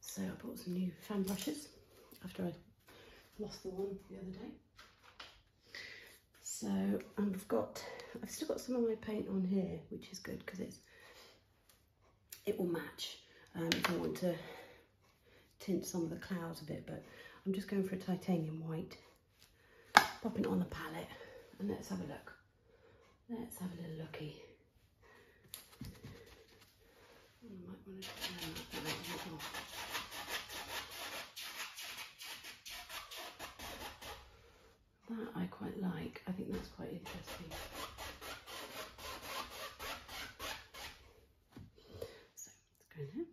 So I bought some new fan brushes after I lost the one the other day. So I've got, I've still got some of my paint on here, which is good because it's, it will match um, if I want to tint some of the clouds a bit, but I'm just going for a titanium white. Popping it on the palette and let's have a look. Let's have a little lookie. You might want to try that a little more. That I quite like. I think that's quite interesting. So let's go in here.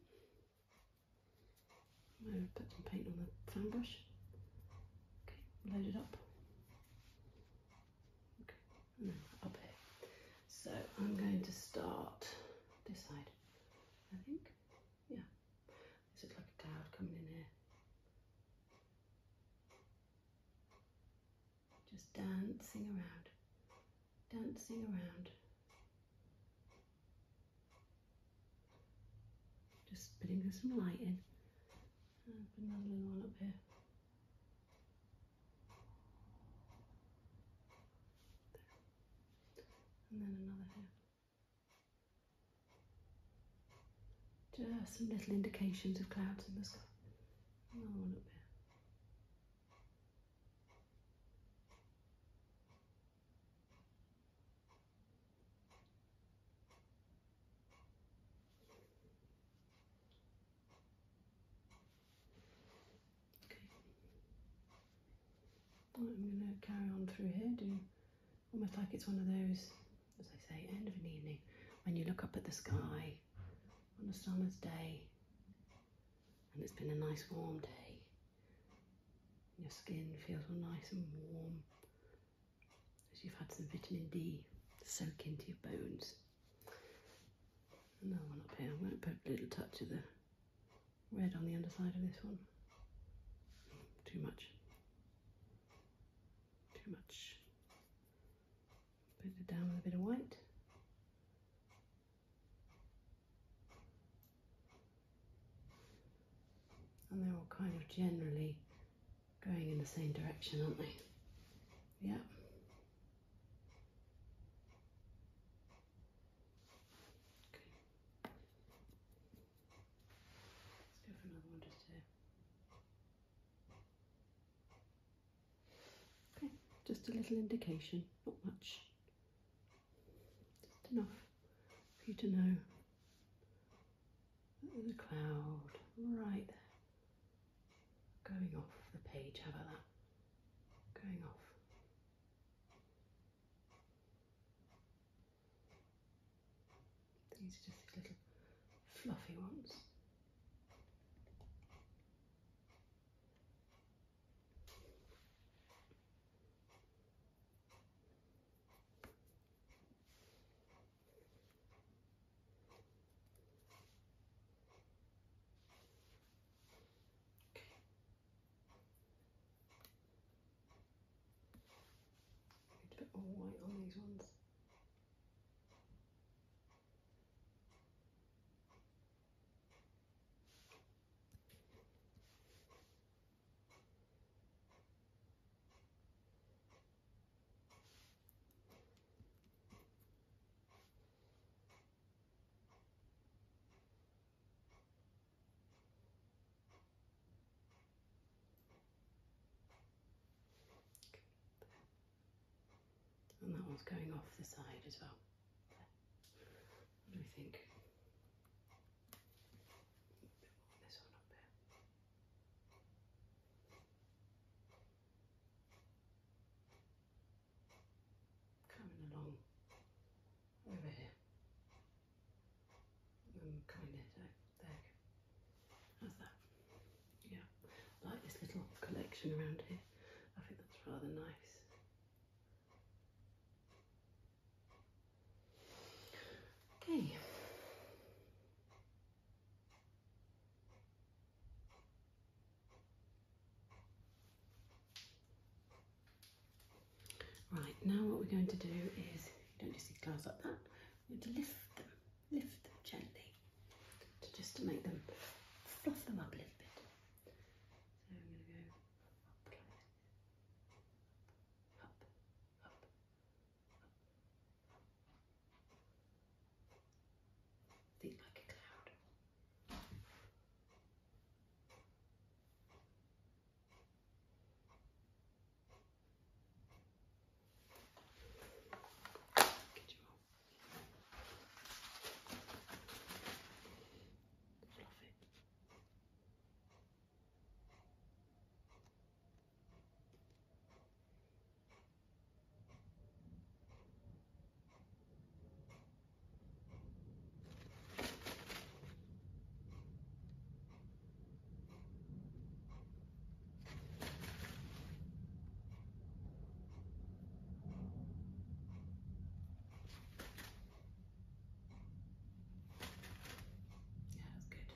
I'm going to put some paint on the fan brush. Okay, load it up. Okay, up here. So I'm going to start this side, I think. Yeah, this is like a cloud coming in here. Just dancing around, dancing around. Just putting some light in another little one up here. And then another here. Just some little indications of clouds in the sky. Another one up here. I'm going to carry on through here, do almost like it's one of those, as I say, end of an evening, when you look up at the sky on a summer's day and it's been a nice warm day. Your skin feels nice and warm as you've had some vitamin D soak into your bones. Another one up here. I'm going to put a little touch of the red on the underside of this one. Too much. Too much. Put it down with a bit of white. And they're all kind of generally going in the same direction, aren't they? Yeah. Okay. Let's go for another one just here. Okay, just a little indication, not much. Just enough for you to know in a cloud right there going off the page how about that going off these are just little fluffy ones Okay. It's a bit all white on these ones. And that one's going off the side as well. What do we think? This one up there coming along over here um, kind of so there you go how's that yeah I like this little collection around here I think that's rather nice okay Right, now what we're going to do is, you don't just need glass like that, we have to lift them, lift them gently, to just to make them, fluff them up a little bit. So I'm going to go up, up, up, Think like a cloud. Good job. Fluff it. Yeah, that was good.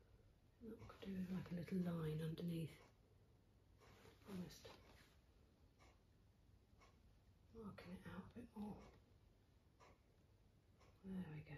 That could do with like a little line underneath, almost marking it out a bit more. There we go.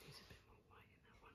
There's a bit more white in that one.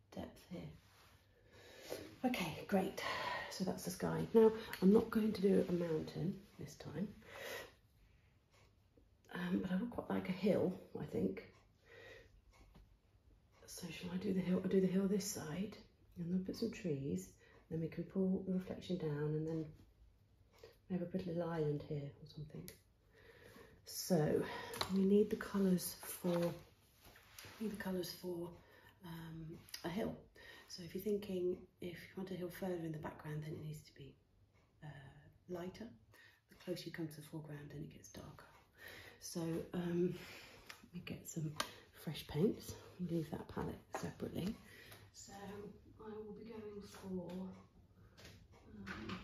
depth here. Okay, great. So that's the sky. Now, I'm not going to do a mountain this time, um, but I would quite like a hill, I think. So shall I do the hill? I'll do the hill this side, and then put some trees, then we can pull the reflection down, and then maybe put a little island here or something. So we need the colours for the colours for um, a hill. So if you're thinking, if you want a hill further in the background, then it needs to be uh, lighter. The closer you come to the foreground, then it gets darker. So um, we get some fresh paints. leave that palette separately. So I will be going for um,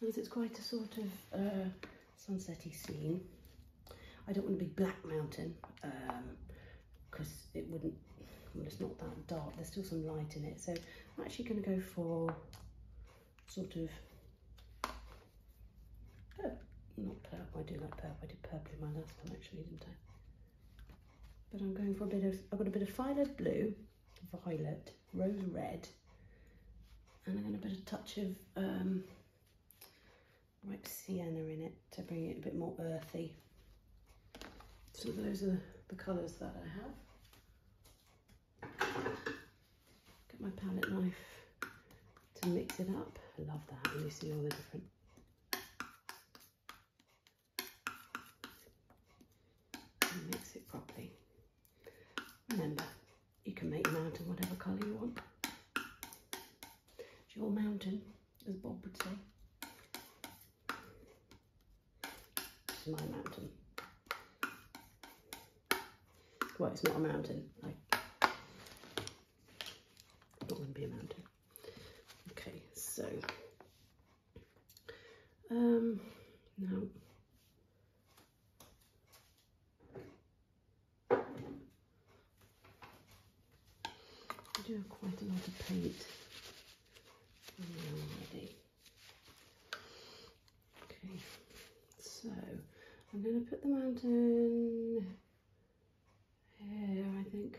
because it's quite a sort of uh, sunsetty scene. I don't want to be black mountain because um, it wouldn't, well it's not that dark, there's still some light in it. So I'm actually going to go for sort of purple, uh, not purple, I do like purple, I did purple in my last one actually, didn't I? But I'm going for a bit of, I've got a bit of violet blue, violet, rose red, and I'm going to put a touch of um, sienna in it to bring it a bit more earthy. So those are the colours that I have. Get my palette knife to mix it up. I love that, and you see all the different and mix it properly. Remember, you can make your mountain whatever colour you want. It's your mountain, as Bob would say. This is my mountain. Well, it's not a mountain. I, it's not going to be a mountain. Okay, so um, no. I do have quite a lot of paint Okay, so I'm going to put the mountain here, I think.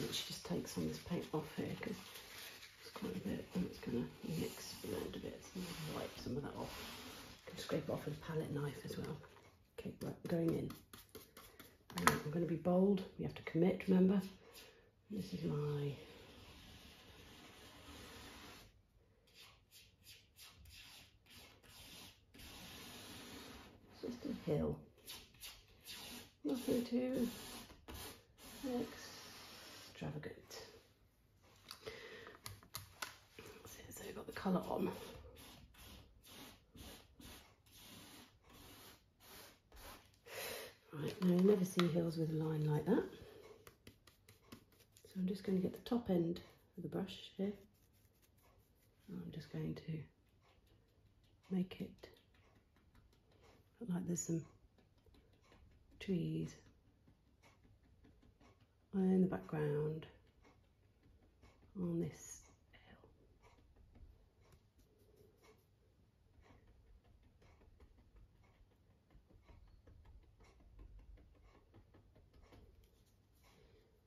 Let's just take some of this paint off here because it's quite a bit and it's going to mix around a bit. So I'm wipe some of that off. I can scrape off with a palette knife as well. Okay, right, I'm going in. Right, I'm going to be bold. We have to commit, remember? This is my just a hill nothing too extravagant. So, so we've got the colour on. Right, now you never see heels with a line like that. So I'm just going to get the top end of the brush here. I'm just going to make it look like there's some trees in the background on this hill.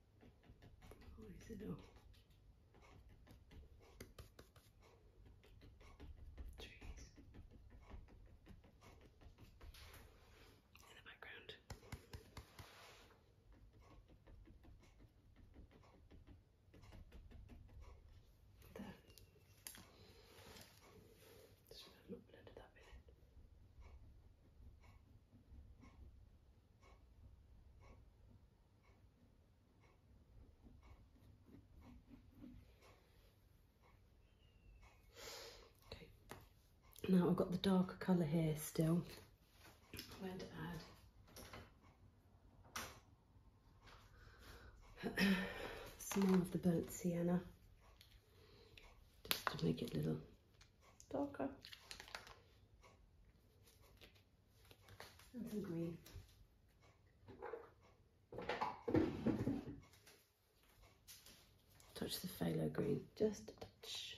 always do. Trees in the background. There. Just have not blended that bit in. Okay, now I've got the darker colour here still. I'm going to add some more of the burnt sienna just to make it a little darker and some green. Touch the phthalo green, just a touch.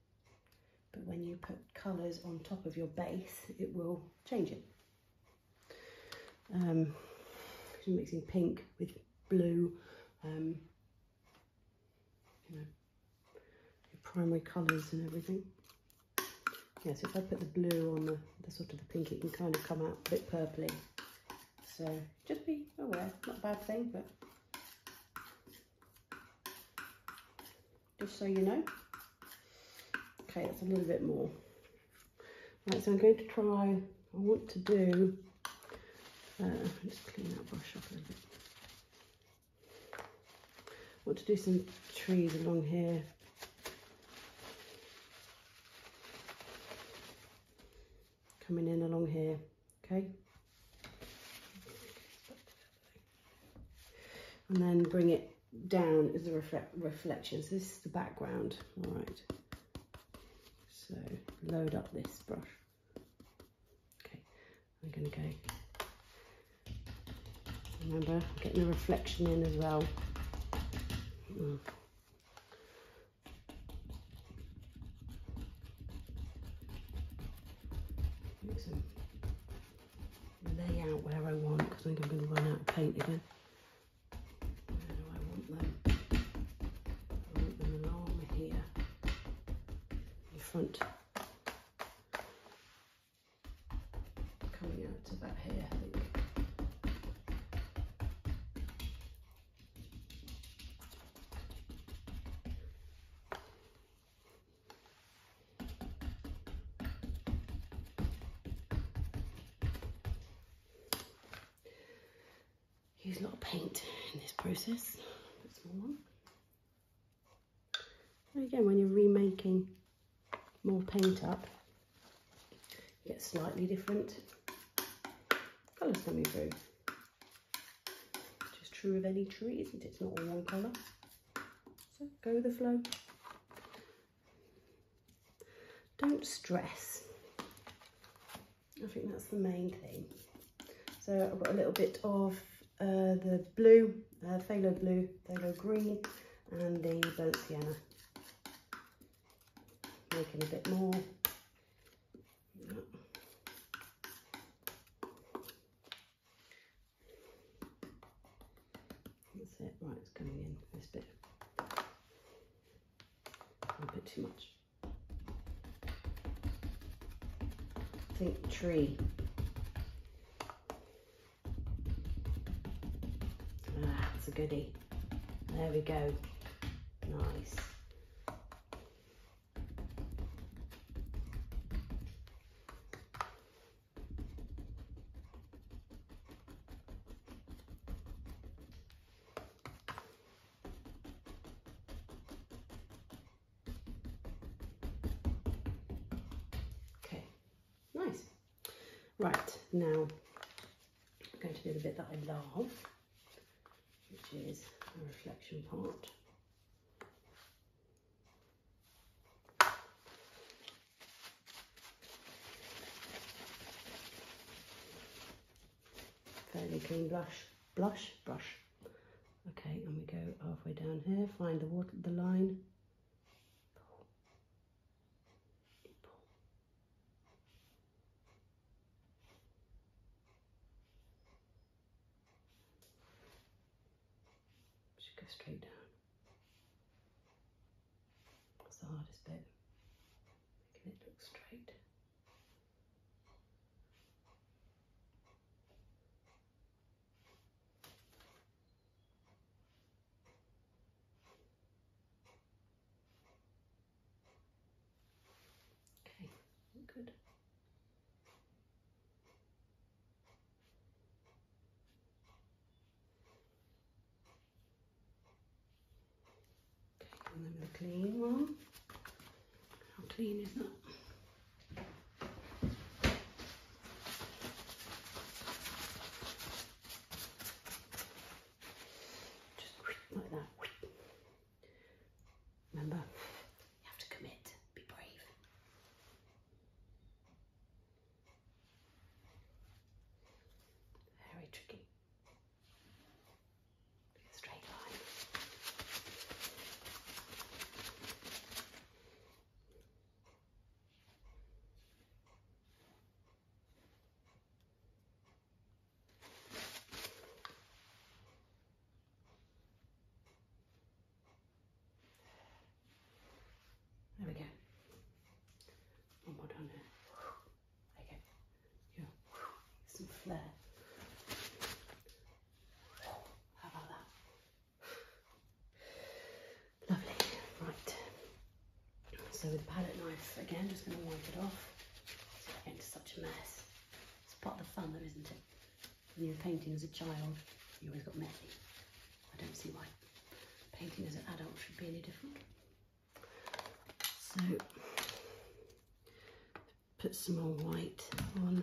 But when you put colours on top of your base, it will change it. Um, you're mixing pink with blue, um, you know, your primary colours and everything. Yeah, so if I put the blue on the, sort of the pink, it can kind of come out a bit purply. So just be aware, not a bad thing, but just so you know. Okay, that's a little bit more. Right, so I'm going to try, I want to do, uh, just clean that brush up a bit. I want to do some trees along here. Coming in along here okay and then bring it down as a reflect reflection so this is the background all right so load up this brush okay I'm gonna go remember getting the reflection in as well Make some layout where I want because I think I'm going to run out of paint again. front coming out to that here I think. Use a lot of paint in this process. Put some on. again, when you're remaking more paint up, get slightly different colours coming through. Which is true of any tree, isn't it? It's not all one colour. So go with the flow. Don't stress. I think that's the main thing. So I've got a little bit of uh, the blue, uh, phthalo blue, phthalo green, and the burnt sienna. Making a bit more that's it, right, it's coming in this bit. A bit too much. Think tree. Ah, it's a goodie. There we go. Nice. Okay, nice. Right, now I'm going to do the bit that I love, which is the reflection part. Fairly clean blush, blush, brush. Okay, and we go halfway down here, find the water, the line. Should go straight down. That's the hardest bit, making it look straight. Okay, good and then the clean one. How clean is that? Just like that. Remember, you have to commit, be brave. Very tricky. Straight line. There we go. One more down here. Okay. Yeah. Some flair. How about that? Lovely. Right. So with a palette knife, again, just going to wipe it off. It's getting into such a mess. It's part of the fun, though, isn't it? When you were painting as a child, you always got messy. I don't see why painting as an adult should be any different. So, put some more white on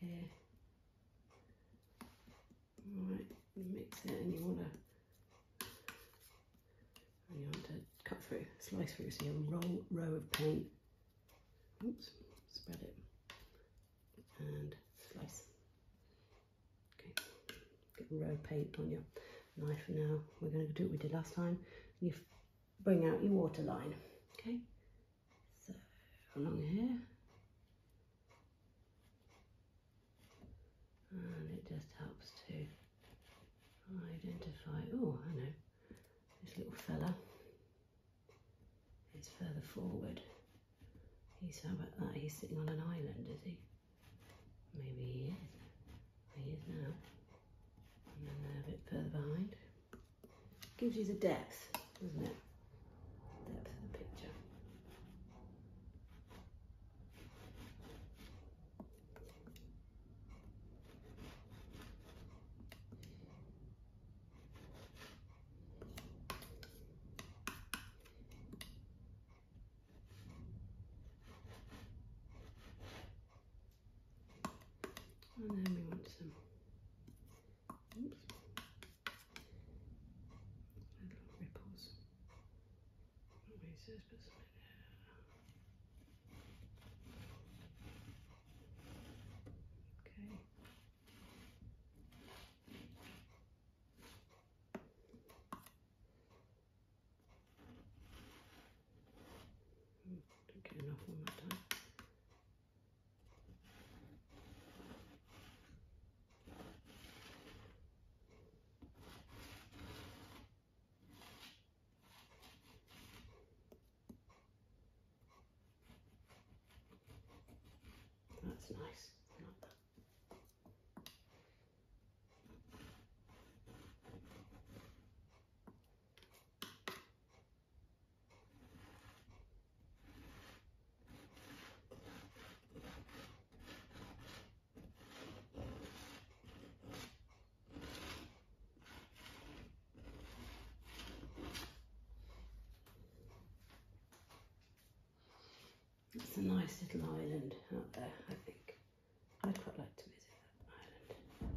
here. Right, mix it and you want to you want to cut through, slice through, see you have a row of paint oops, spread it and slice. Okay, get a row paint on your knife now. We're going to do what we did last time. You bring out your waterline. Okay, so along here. And it just helps to identify, oh, I know, this little fella he's further forward. He's about that? He's sitting on an island, is he? Maybe he is. He is now. And then they're a bit further behind. Gives you the depth, doesn't it? Depth of the picture. And then we want some oops, little ripples. Always says, but Okay. Mm, don't get enough on that time. That's nice. I like that. It's a nice little island out there, I think. I'd quite like to visit that island.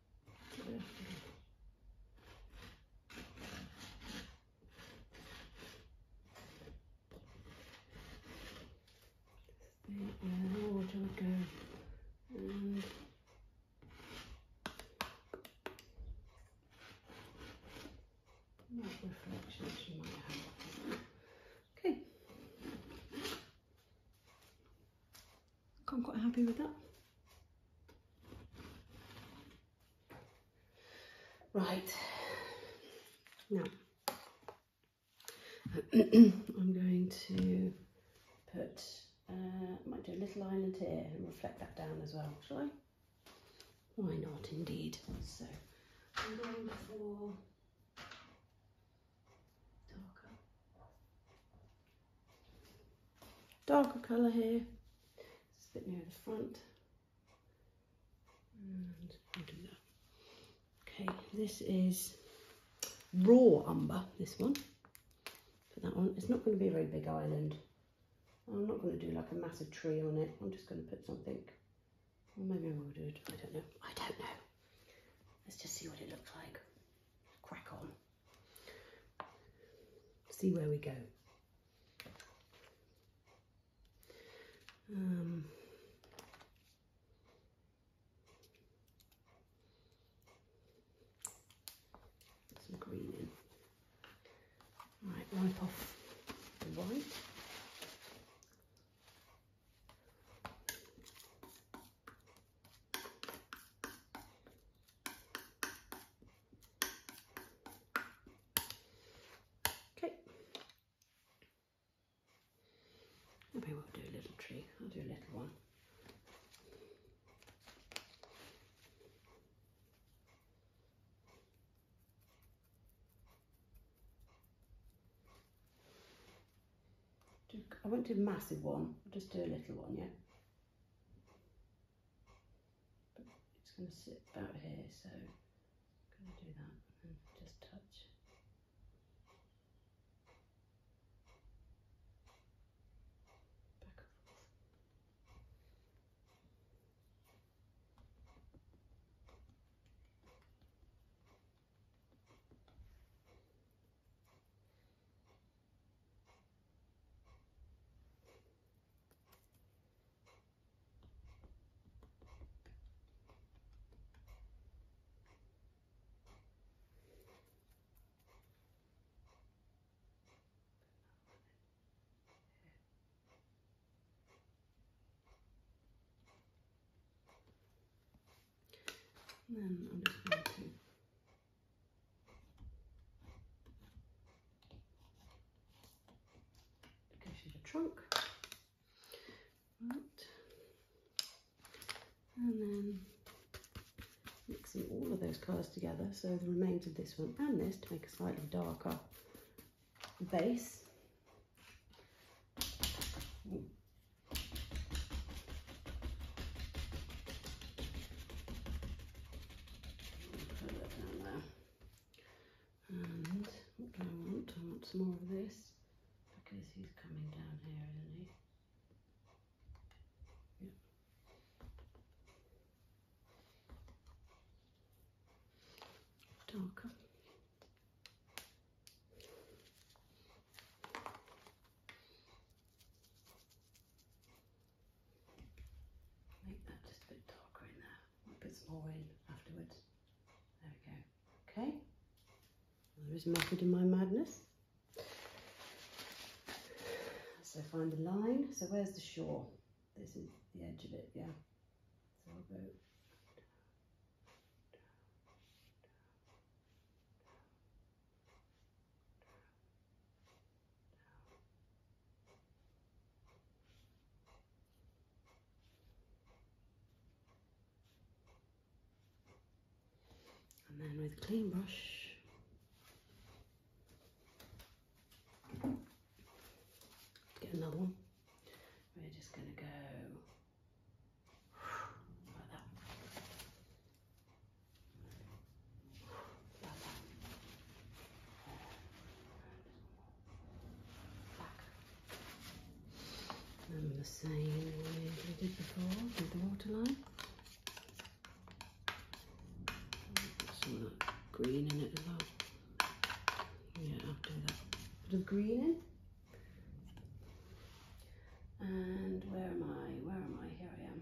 where the water would go and that reflection she might have. Okay. I'm quite happy with that. Right, now I'm going to put, uh, might do a little island here and reflect that down as well, shall I? Why not indeed? So I'm going for darker. Darker colour here, it's a bit near the front. Okay, this is raw umber, this one. Put that one. It's not going to be a very big island. I'm not going to do like a massive tree on it. I'm just going to put something. maybe I will do it. I don't know. I don't know. Let's just see what it looks like. Crack on see where we go. Um, some green in. Right, wipe off the white. Okay. Maybe we'll do a little tree. I'll do a little one. I won't do a massive one, I'll just do a little one, yeah? but it's going to sit about here so I'm going to do that and just touch back and and then I'm just going to it goes in the trunk. Right. And then mixing all of those colours together, so the remains of this one and this to make a slightly darker base. Ooh. And what do I want? I want some more of this because he's coming down here, isn't he? Yep. Darker. Make that just a bit darker in there. I'll put some more in afterwards. There we go. Okay. There is method in my madness. So find the line. So where's the shore? This is the edge of it, yeah. So I'll go and then with a clean brush, get another one. We're just going to go like that. And the same way we did before with the waterline. Put some of that green in it as well. Yeah, I'll do that. Bit of green in. And where am I? Where am I? Here I am.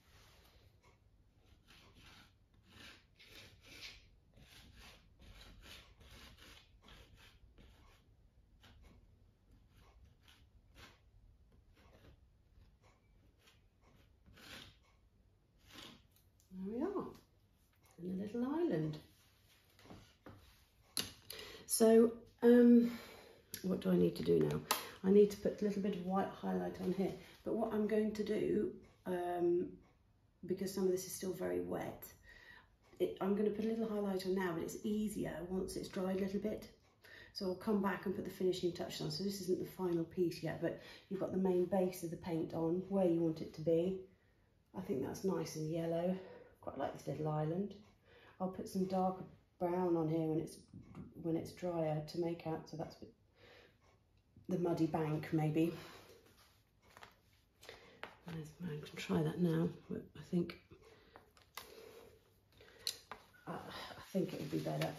There we are, in a little island. So, um, what do I need to do now? I need to put a little bit of white highlight on here. But what I'm going to do, um, because some of this is still very wet, I'm going to put a little highlight on now, but it's easier once it's dried a little bit. So I'll come back and put the finishing touches on. So this isn't the final piece yet, but you've got the main base of the paint on, where you want it to be. I think that's nice and yellow. Quite like this little island. I'll put some darker brown on here when it's when it's drier to make out so that's the muddy bank maybe I can try that now but I think uh, I think it would be better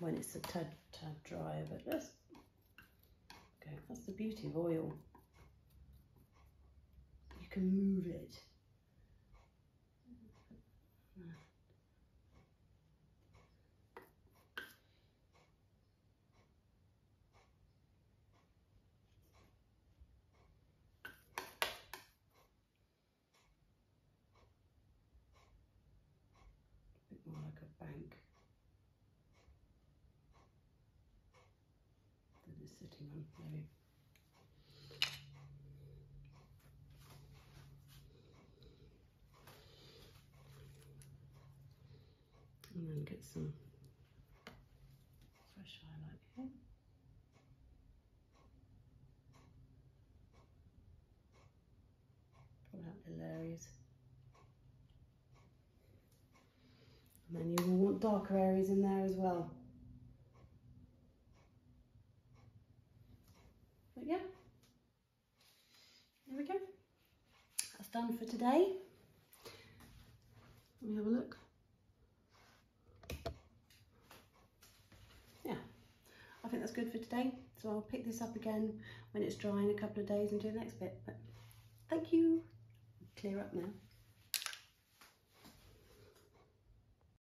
when it's a tad, tad drier but let's okay, that's the beauty of oil you can move it bit more like a bank that is sitting on. There and then get some fresh highlight here. Pull out little areas. And then you will want darker areas in there as well. But yeah, there we go. That's done for today. Let me have a look. Yeah, I think that's good for today. So I'll pick this up again when it's drying a couple of days and do the next bit. But thank you. Clear up now.